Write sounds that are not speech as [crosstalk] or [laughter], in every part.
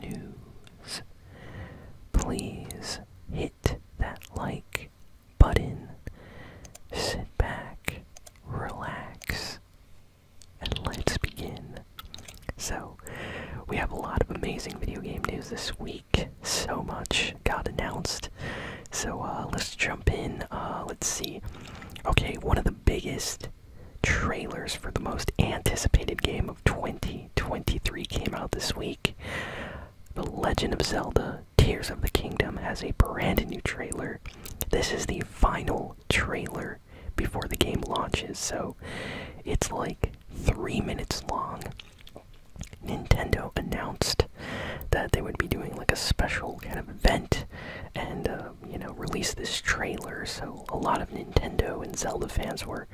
news. Please hit that like button. Sit back, relax, and let's begin. So, we have a lot of amazing video game news this week. So much got announced. So, uh, let's jump in. Uh, let's see. Okay, one of the biggest trailers for the most anticipated game of 2023 came out this week. The Legend of Zelda Tears of the Kingdom has a brand new trailer. This is the final trailer before the game launches, so it's like three minutes long. Nintendo announced that they would be doing like a special kind of event and uh, um, you know, released this trailer, so a lot of Nintendo and Zelda fans were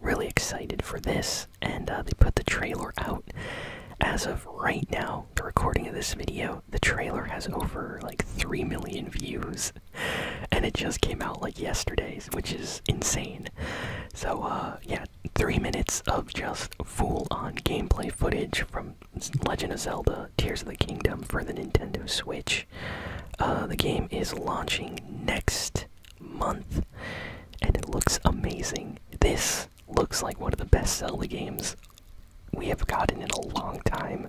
really excited for this, and uh, they put the trailer out. As of right now, the recording of this video, the trailer has over like 3 million views, and it just came out like yesterday, which is insane. So, uh, yeah, 3 minutes of just full on gameplay footage from Legend of Zelda uh, Tears of the Kingdom for the Nintendo Switch. Uh, the game is launching next month, and it looks amazing. This looks like one of the best Zelda games we have gotten in a long time.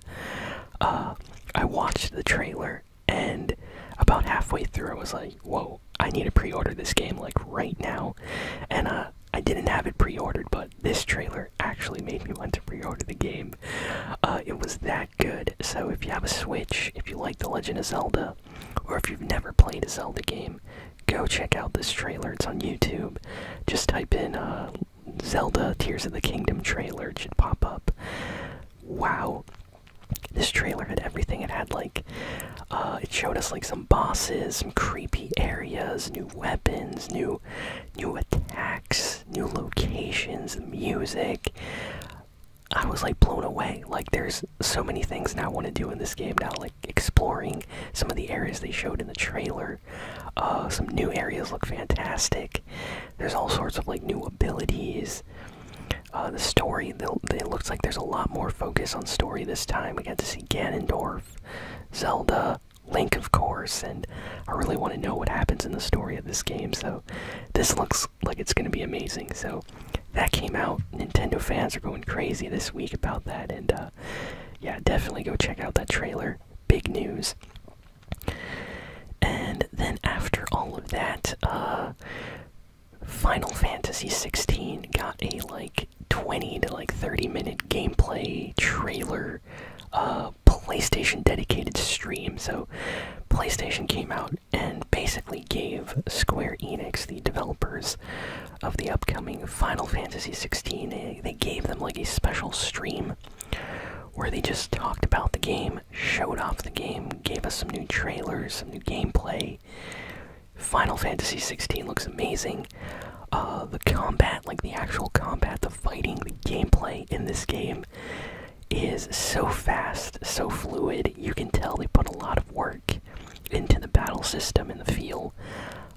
Uh, I watched the trailer, and about halfway through, I was like, whoa, I need to pre order this game, like, right now. And, uh, I didn't have it pre ordered, but this trailer actually made me want to pre order the game. Uh, it was that good. So if you have a Switch, if you like The Legend of Zelda, or if you've never played a Zelda game, go check out this trailer. It's on YouTube. Just type in uh, Zelda Tears of the Kingdom trailer. It should pop up. Wow. This trailer had everything. It had like, uh, it showed us like some bosses, some creepy areas, new weapons, new, new attacks new locations, music. I was like blown away. Like there's so many things now I want to do in this game now, like exploring some of the areas they showed in the trailer. Uh, some new areas look fantastic. There's all sorts of like new abilities. Uh, the story, the, it looks like there's a lot more focus on story this time. We got to see Ganondorf, Zelda, Link, of course, and I really want to know what happens in the story of this game, so this looks like it's going to be amazing. So that came out. Nintendo fans are going crazy this week about that, and uh, yeah, definitely go check out that trailer. Big news. And then after all of that, uh, Final Fantasy 16 got a like 20 to like 30 minute gameplay trailer a uh, PlayStation dedicated stream. So, PlayStation came out and basically gave Square Enix, the developers of the upcoming Final Fantasy XVI, they gave them like a special stream where they just talked about the game, showed off the game, gave us some new trailers, some new gameplay. Final Fantasy XVI looks amazing. Uh, the combat, like the actual combat, the fighting, the gameplay in this game is so fast, so fluid. You can tell they put a lot of work into the battle system and the feel.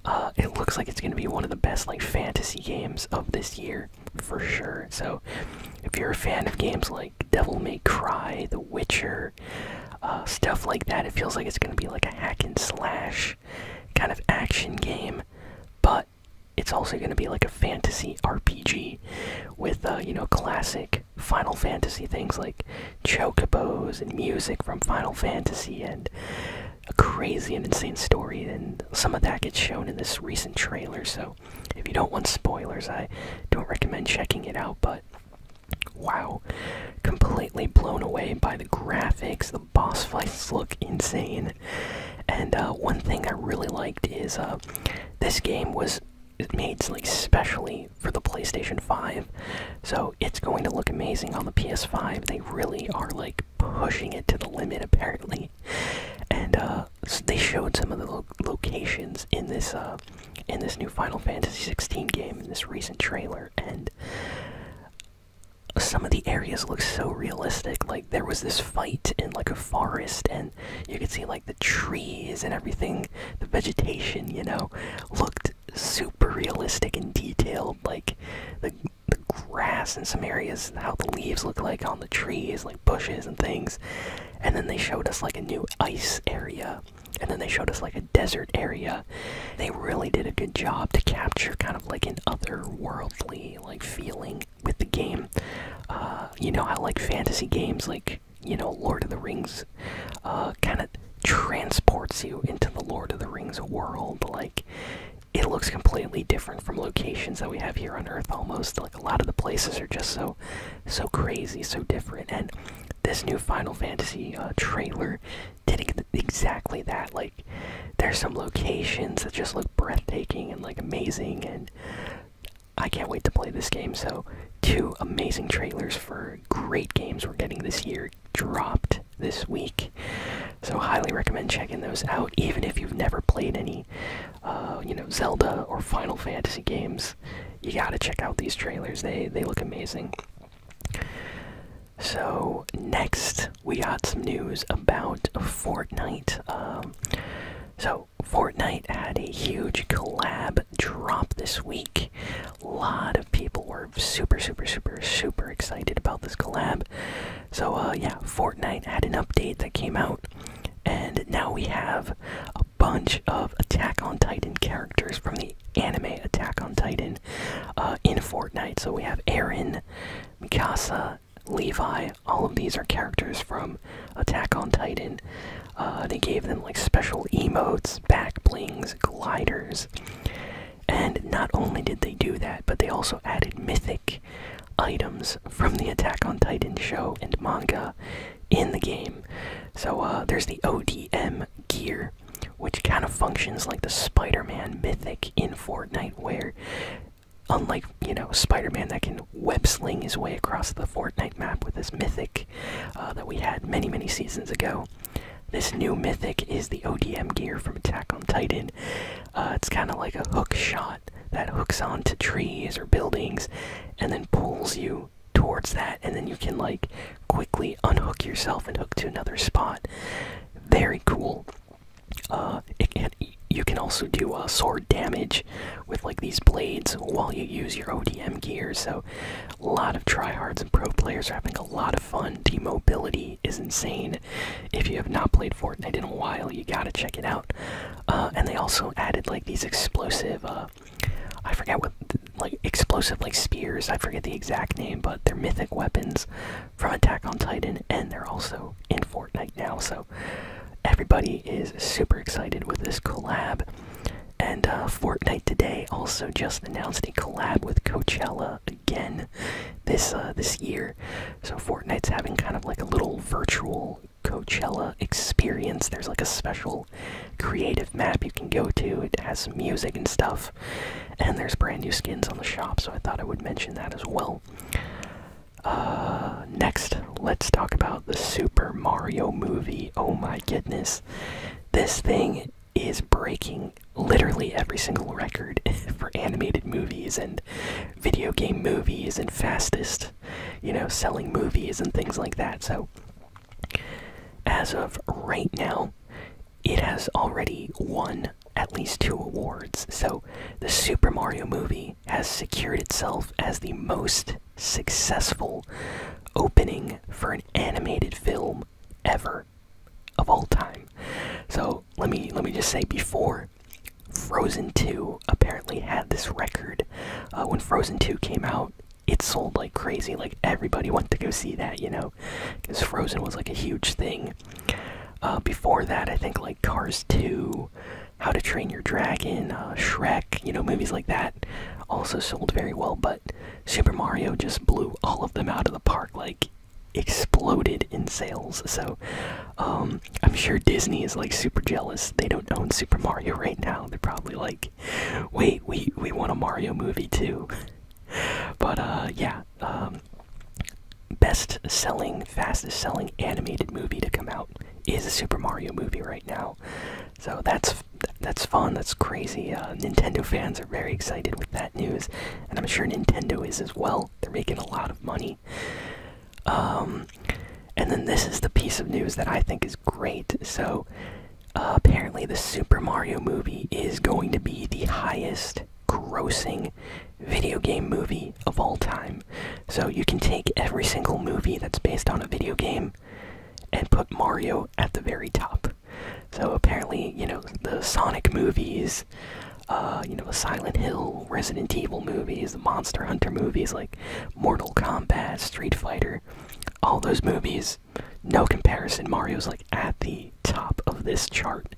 Uh, it looks like it's going to be one of the best like fantasy games of this year for sure. So, if you're a fan of games like Devil May Cry, The Witcher, uh, stuff like that, it feels like it's going to be like a hack and slash kind of action game. But it's also going to be like a fantasy RPG with, uh, you know, classic Final Fantasy things like chocobos and music from Final Fantasy and a crazy and insane story. And some of that gets shown in this recent trailer. So if you don't want spoilers, I don't recommend checking it out. But wow, completely blown away by the graphics, boss fights look insane. And uh, one thing I really liked is uh, this game was made like specially for the PlayStation 5, so it's going to look amazing on the PS5. They really are like pushing it to the limit apparently, and uh, they showed some of the locations in this in this new Final Fantasy 16 game in this recent trailer, and some of the areas look so realistic. Like there was this fight in like a forest, and you could see like the trees and everything, the vegetation, you know, looked super realistic and detailed. Like the the grass in some areas, how the leaves look like on the trees, like bushes and things. And then they showed us like a new ice area, and then they showed us like a desert area. They really did a good job to capture kind of like an otherworldly like feeling with the game. Uh, you know I like fantasy games, like you know Lord of the Rings, uh, kind of transports you into the Lord of the Rings world. Like it looks completely different from locations that we have here on Earth. Almost like a lot of the places are just so, so crazy, so different. And this new Final Fantasy uh, trailer did exactly that. Like like there's some locations that just look breathtaking and like amazing and I can't wait to play this game. So two amazing trailers for great games we're getting this year dropped this week. So highly recommend checking those out even if you've never played any uh, you know Zelda or Final Fantasy games. You got to check out these trailers. They they look amazing. So, next, we got some news about Fortnite. Um, so, Fortnite had a huge collab drop this week. A lot of people were super, super, super, super excited about this collab. So, uh, yeah, Fortnite had an update that came out, and now we have a bunch of Attack on Titan characters from the anime Attack on Titan uh, in Fortnite. So, we have Aaron, Mikasa, Levi. All of these are characters from Attack on Titan. Uh, they gave them like special emotes, back blings, gliders. And not only did they do that, but they also added mythic items from the Attack on Titan show and manga in the game. So uh, there's the ODM gear which kind of functions like the Spider Man mythic in Fortnite, where unlike, you know, Spider Man that can websling his way across the Fortnite map with his mythic uh, that we had many, many seasons ago. This new mythic is the ODM gear from Attack on Titan. Uh, it's kind of like a hook shot that hooks onto trees or buildings and then pulls you towards that, and then you can like quickly unhook yourself and hook to another spot. Very cool. Uh, you can also do uh, sword damage with like these blades while you use your ODM gear. So, a lot of tryhards and pro players are having a lot of fun. The mobility is insane. If you have not played Fortnite in a while, you gotta check it out. Uh, and they also added like these explosive. Uh, I forget what, like explosive like spears. I forget the exact name, but they're mythic weapons from Attack on Titan, and they're also in Fortnite now. So everybody is super excited with this collab. And uh, Fortnite today also just announced a collab with Coachella again this uh, this year. So Fortnite's having kind of like a little virtual Coachella experience. There's like a special creative map you can go to. It has some music and stuff. And there's brand new skins on the shop, so I thought I would mention that as well. Uh, next, let's talk about the Super Mario movie. Oh my goodness. This thing is breaking literally every single record [laughs] for animated movies and video game movies and fastest, you know, selling movies and things like that. So, as of right now, it has already won at least two awards, so the Super Mario movie has secured itself as the most successful opening for an animated film ever of all time. So let me let me just say before Frozen 2 apparently had this record uh, when Frozen 2 came out. It sold like crazy, like everybody went to go see that, you know because Frozen was like a huge thing. Uh, before that, I think like Cars 2, How to Train Your Dragon, uh, Shrek, you know, movies like that also sold very well. But Super Mario just blew all of them out of the park, like exploded in sales. So um, I'm sure Disney is like super jealous. They don't own Super Mario [laughs] right now. They're probably like, wait, we we want a Mario movie too but uh, yeah, um, best selling, fastest selling animated movie to come out is a Super Mario movie right now. So that's that's fun. That's crazy. Uh, Nintendo fans are very excited with that news, and I'm sure Nintendo is as well. They're making a lot of money. Um, and then this is the piece of news that I think is great. So apparently, the Super Mario movie is going to be the highest grossing video game movie of all time. So, you can take every single movie that's based on a video game and put Mario at the very top. So, apparently, you know, the Sonic movies, uh, you know, the Silent Hill, Resident Evil movies, the Monster Hunter movies like Mortal Kombat, Street Fighter, all those movies no comparison. Mario's like at the top of this chart.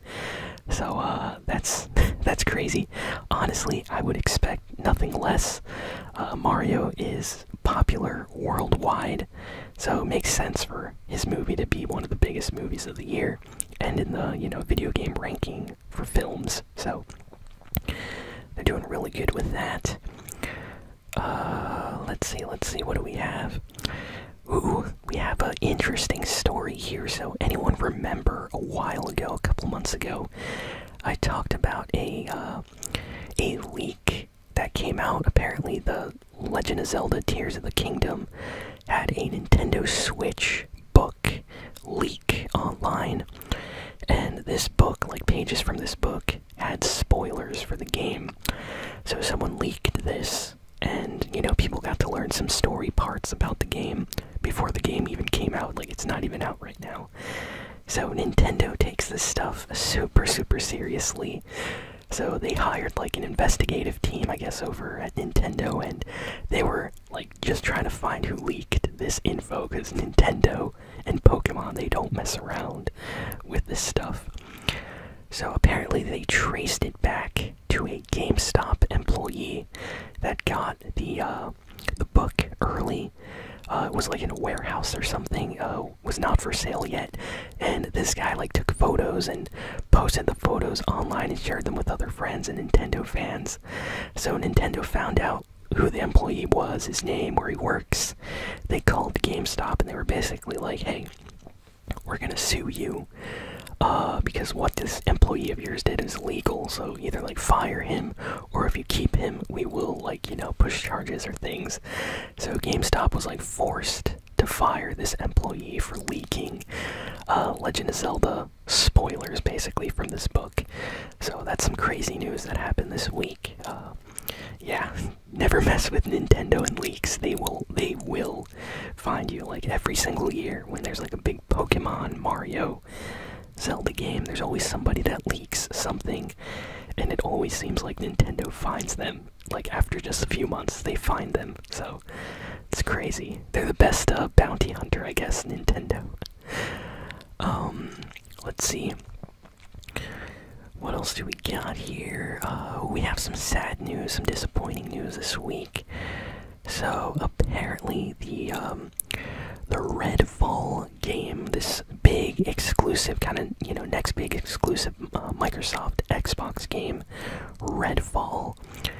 So uh, that's [laughs] that's crazy. Honestly, I would expect nothing less. Uh, Mario is popular worldwide, so it makes sense for his movie to be one of the biggest movies of the year, and in the you know video game ranking for films. So they're doing really good with that. Uh, let's see, let's see, what do we have? Ooh, we have an interesting story here. So, anyone remember a while ago, a couple months ago, I talked about a uh, a leak that came out. Apparently, the Legend of Zelda: Tears of the Kingdom had a Nintendo Switch book leak online, and this book, like pages from this book, had spoilers for the game. So someone leaked this, and you know, people got to learn some story parts about the game before the game even came out. Like, it's not even out right now. So, Nintendo takes this stuff super, super seriously. So, they hired like an investigative team, I guess, over at Nintendo, and they were like just trying to find who leaked this info because Nintendo and Pokemon, they don't mess around with this stuff. So apparently, they traced it back to a GameStop employee that got the uh, the book early. Uh, it was like in a warehouse or something. Uh, was not for sale yet, and this guy like took photos and posted the photos online and shared them with other friends and Nintendo fans. So Nintendo found out who the employee was, his name, where he works. They called GameStop and they were basically like, hey, we're gonna sue you uh, because what this employee of yours did is legal. So either like fire him, or if you keep him, we will like you know push charges or things. So GameStop was like forced to fire this employee for leaking uh, Legend of Zelda spoilers, basically from this book. So that's some crazy news that happened this week. Uh, yeah, never mess with Nintendo and leaks. They will they will find you like every single year when there's like a big Pokemon, Mario, Zelda game. There's always somebody that leaks something, and it always seems like Nintendo finds them. Like after just a few months, they find them. So it's crazy. They're the best uh, bounty hunter, I guess. Nintendo. Um, let's see. What else do we got here? Uh, we have some sad news, some disappointing news this week. So apparently, the um, the Redfall game, this big exclusive kind of you know next big exclusive uh, Microsoft Xbox game, Redfall.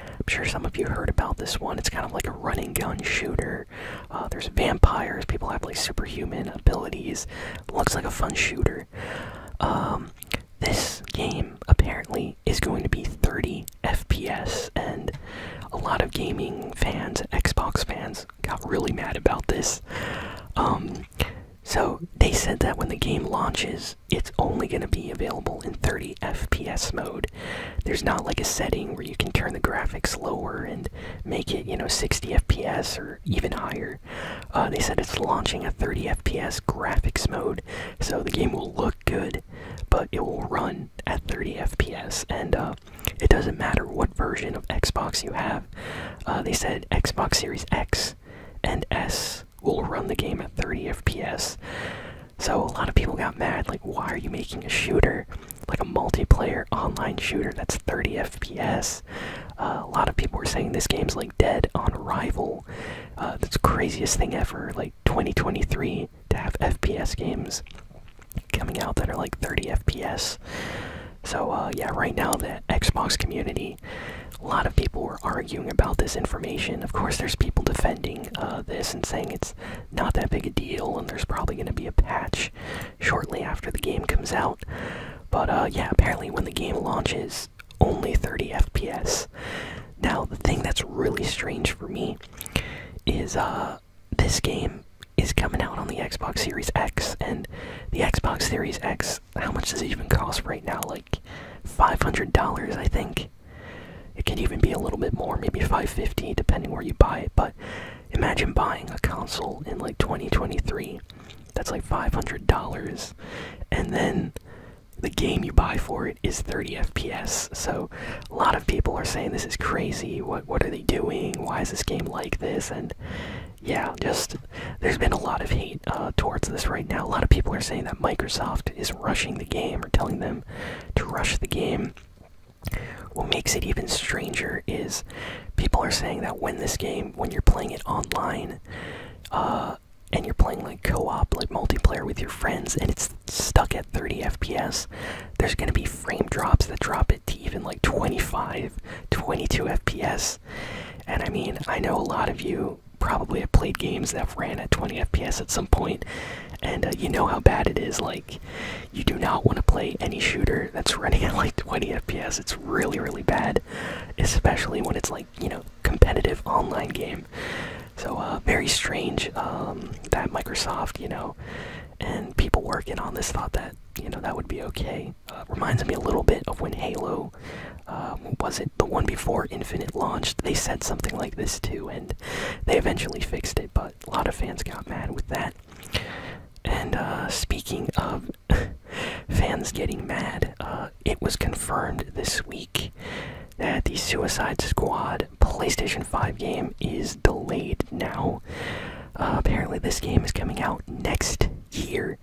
I'm sure some of you heard about this one. It's kind of like a running gun shooter. Uh, there's vampires. People have like superhuman Looks like a fun shooter. Um, this game apparently is going to be 30 FPS, and a lot of gaming fans, Xbox fans, got really mad about this. Um, so they said that when the game launches, it's only going to be available in 30 FPS mode. There's not like a setting where you can turn the graphics lower and make it, you know, 60 FPS or even higher. Uh, they said it's launching a 30 FPS graphics mode, so the game will look good, but it will run at 30 FPS, and uh, it doesn't matter what version of Xbox you have. Uh, they said Xbox Series X and S will run the game at 30 FPS. So a lot of people got mad, like, why are you making a shooter like a multiplayer online shooter that's 30 FPS. Uh, a lot of people were saying this game's like dead on arrival. Uh, that's the craziest thing ever. Like 2023 to have FPS games coming out that are like 30 FPS. So uh, yeah, right now the Xbox community, a lot of people were arguing about this information. Of course, there's people defending uh, this and saying it's not that big a deal, and there's probably going to be a patch shortly after the game comes out. But uh, yeah, apparently when the game launches, only 30 FPS. Now, the thing that's really strange for me is uh, this game is coming out on the Xbox Series X, and the Xbox Series X, how much does it even cost right now? Like $500, I think. It could even be a little bit more, maybe 550 depending where you buy it, but Imagine buying a console in like 2023. That's like $500. And then the game you buy for it is 30 FPS. So a lot of people are saying this is crazy. What what are they doing? Why is this game like this? And yeah, just there's been a lot of hate uh, towards this right now. A lot of people are saying that Microsoft is rushing the game or telling them to rush the game. What makes it even stranger is people are saying that when this game, when you're playing it online, uh, and you're playing like co-op, like multiplayer with your friends, and it's stuck at 30 FPS, there's gonna be frame drops that drop it to even like 25, 22 FPS. And I mean, I know a lot of you probably have played games that ran at 20 FPS at some point, and uh, you know how bad it is. Like you do not want to play any shooter that's running at like 20 fps it's really really bad especially when it's like you know competitive online game so uh, very strange um, that microsoft you know and people working on this thought that you know that would be okay uh, reminds me a little bit of when halo um, was it the one before infinite launched they said something like this too and they eventually fixed it but a lot of fans got mad with that and uh, speaking of [laughs] fans getting mad, uh, it was confirmed this week that the Suicide Squad PlayStation 5 game is delayed now. Uh, apparently, this game is coming out next year.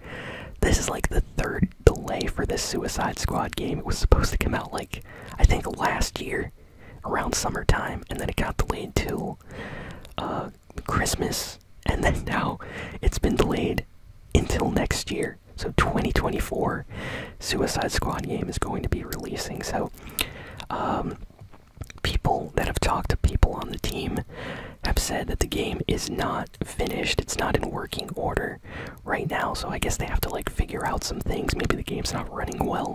This is like the third delay for this Suicide Squad game. It was supposed to come out like, I think, last year around summertime, and then it got delayed till uh, Christmas, and [laughs] then now it's been delayed until next year. So 2024, Suicide Squad game is going to be releasing. So um, people that have talked to people on the team have said that the game is not finished. It's not in working order right now. So I guess they have to like figure out some things. Maybe the game's not running well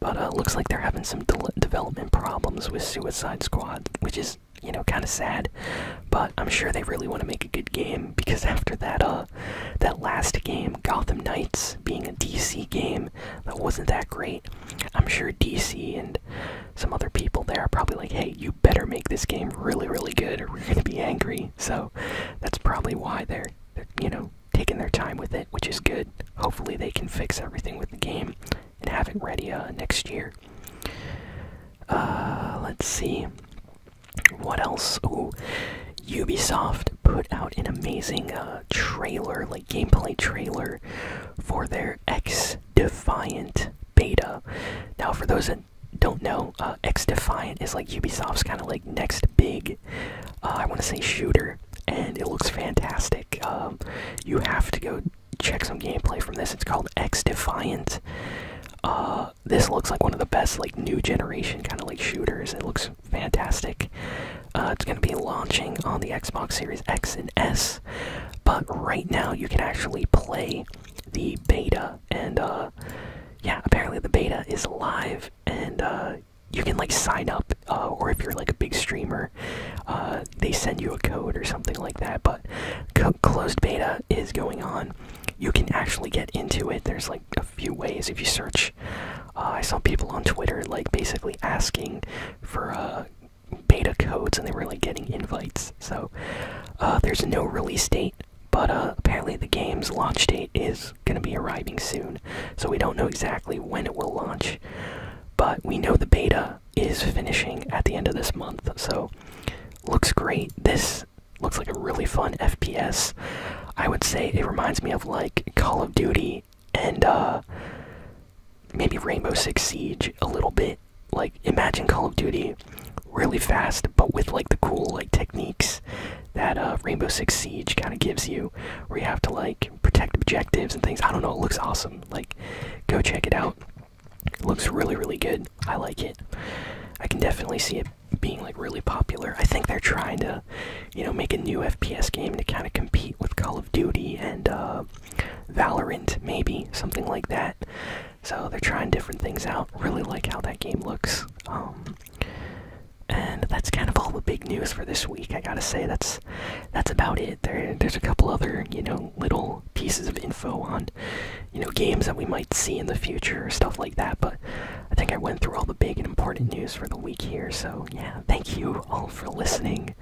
but uh, looks like they're having some development problems with Suicide Squad, which is you know kind of sad. But I'm sure they really want to make a good game because [laughs] after that uh that last game, Gotham Knights, being a DC game that wasn't that great, I'm sure DC and some other people there are probably like, hey, you better make this game really really good or we're gonna be angry. So that's probably why they're you know taking their time with it, which is good. Hopefully, they can fix everything with the game and have it ready uh, next year. Uh, let's see. What else? Oh, Ubisoft put out an amazing uh, trailer, like gameplay trailer, for their X Defiant beta. Now, for those that don't know, X Defiant is like Ubisoft's kind of like next big uh, I want to say shooter, and it looks fantastic. Um, you have to go check some gameplay from this. It's called X Defiant. Uh, this looks like one of the best like new generation kind of like shooters. It looks fantastic. Uh, it's going to be launching on the Xbox Series X and S, but right now you can actually play the beta and yeah, apparently the beta is live and you can like sign up uh, or if you're like a big streamer uh, they send you a code or something like that but closed beta is going on you can actually get into it there's like a few ways if you search uh, i saw people on twitter like basically asking for beta codes and they were like getting invites so there's no release date but apparently the game's launch date is going to be arriving soon. So we don't know exactly when it will launch, but we know the beta is finishing at the end of this month. So looks great. This looks like a really fun FPS. I would say it reminds me of like Call of Duty and uh, maybe Rainbow Six Siege a little bit. Like imagine Call of Duty really fast, but with like the cool like techniques that uh, Rainbow Six Siege kind of gives you, where you have to like protect objectives and things. I don't know. It looks awesome. Like, go check it out. It looks really, really good. I like it. I can definitely see it being like really popular. I think they're trying to, you know, make a new FPS game to kind of compete with Call of Duty and uh, Valorant, maybe something like that. So they're trying different things out. Really like how that game looks. Um, and that's kind of all the big news for this week. I gotta say that's that's about it. There, there's a couple other you know little pieces of info on you know games that we might see in the future or stuff like that. But I think I went through all the big and important news for the week here. So yeah, thank you all for listening,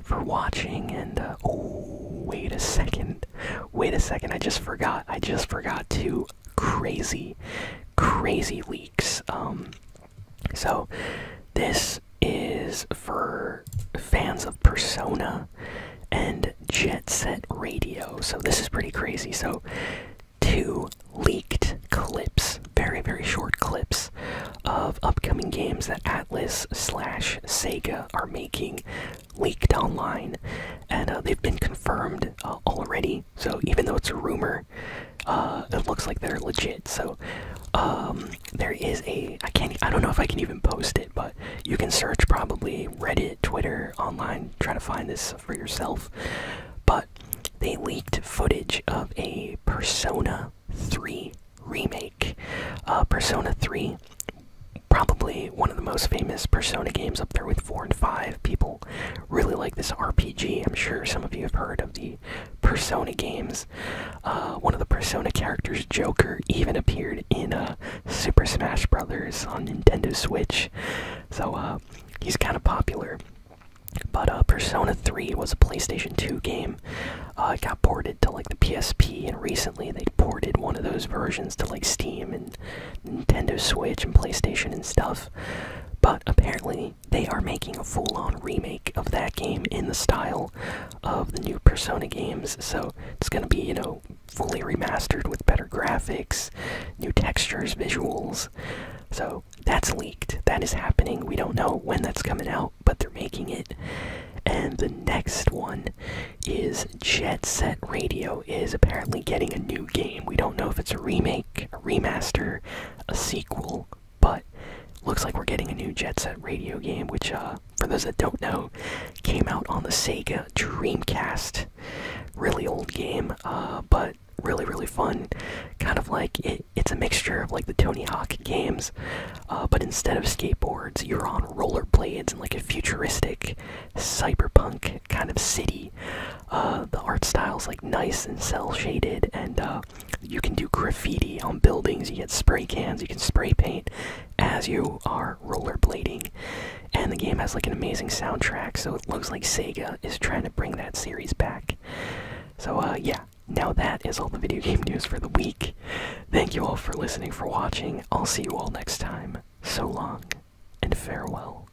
for watching, and uh, oh wait a second, wait a second. I just forgot. I just forgot two crazy, crazy leaks. Um, so, this is for fans of Persona and Jet Set Radio. So, this is pretty crazy. So, two leaked clips, very, very short clips, of upcoming games that Atlas slash Sega are making leaked online. And uh, they've been confirmed uh, already. So, even though it's a rumor, uh, it looks like they're legit. So um, there is a I can't I don't know if I can even post it, but you can search probably Reddit, Twitter, online, try to find this for yourself. But they leaked footage of a Persona 3 remake. Uh, Persona 3, probably one of the most famous Persona games up there with 4 and 5. People really like this RPG. I'm sure some of you have heard of the Persona games. Uh, one of the Persona characters, Joker, even appeared in uh, Super Smash Brothers on Nintendo Switch. So uh, he's kind of popular. But uh, Persona 3 was a PlayStation 2 game. it got ported to like the PSP, and recently they ported one of those versions to like Steam and Nintendo Switch and PlayStation and stuff. But apparently, they are making a full on remake of that game in the style of the new Persona games. So it's going to be, you know, fully remastered with better graphics, new textures, visuals. So that's leaked. That is happening. We don't know when that's coming out, but they're making it. And the next one is Jet Set Radio is apparently getting a new game. We don't know if it's a remake remaster, a sequel, but looks like we're getting a new Jet Set Radio game, which, uh, for those that don't know, came out on the Sega Dreamcast. Really old game, uh, but really really fun. Kind of like it's a mixture of like the Tony Hawk games, uh, but instead of skateboards, you're on rollerblades in like a futuristic cyberpunk kind of city. Uh, the art style's like nice and cell shaded, and uh, you can do graffiti on buildings. You get spray cans. You can spray paint as you are rollerblading. And the game has like an amazing soundtrack, so it looks like Sega is trying to bring that series back. So uh, yeah, now that is all the video game [laughs] news for the week. Thank you all for listening, for watching. I'll see you all next time. So long, and farewell.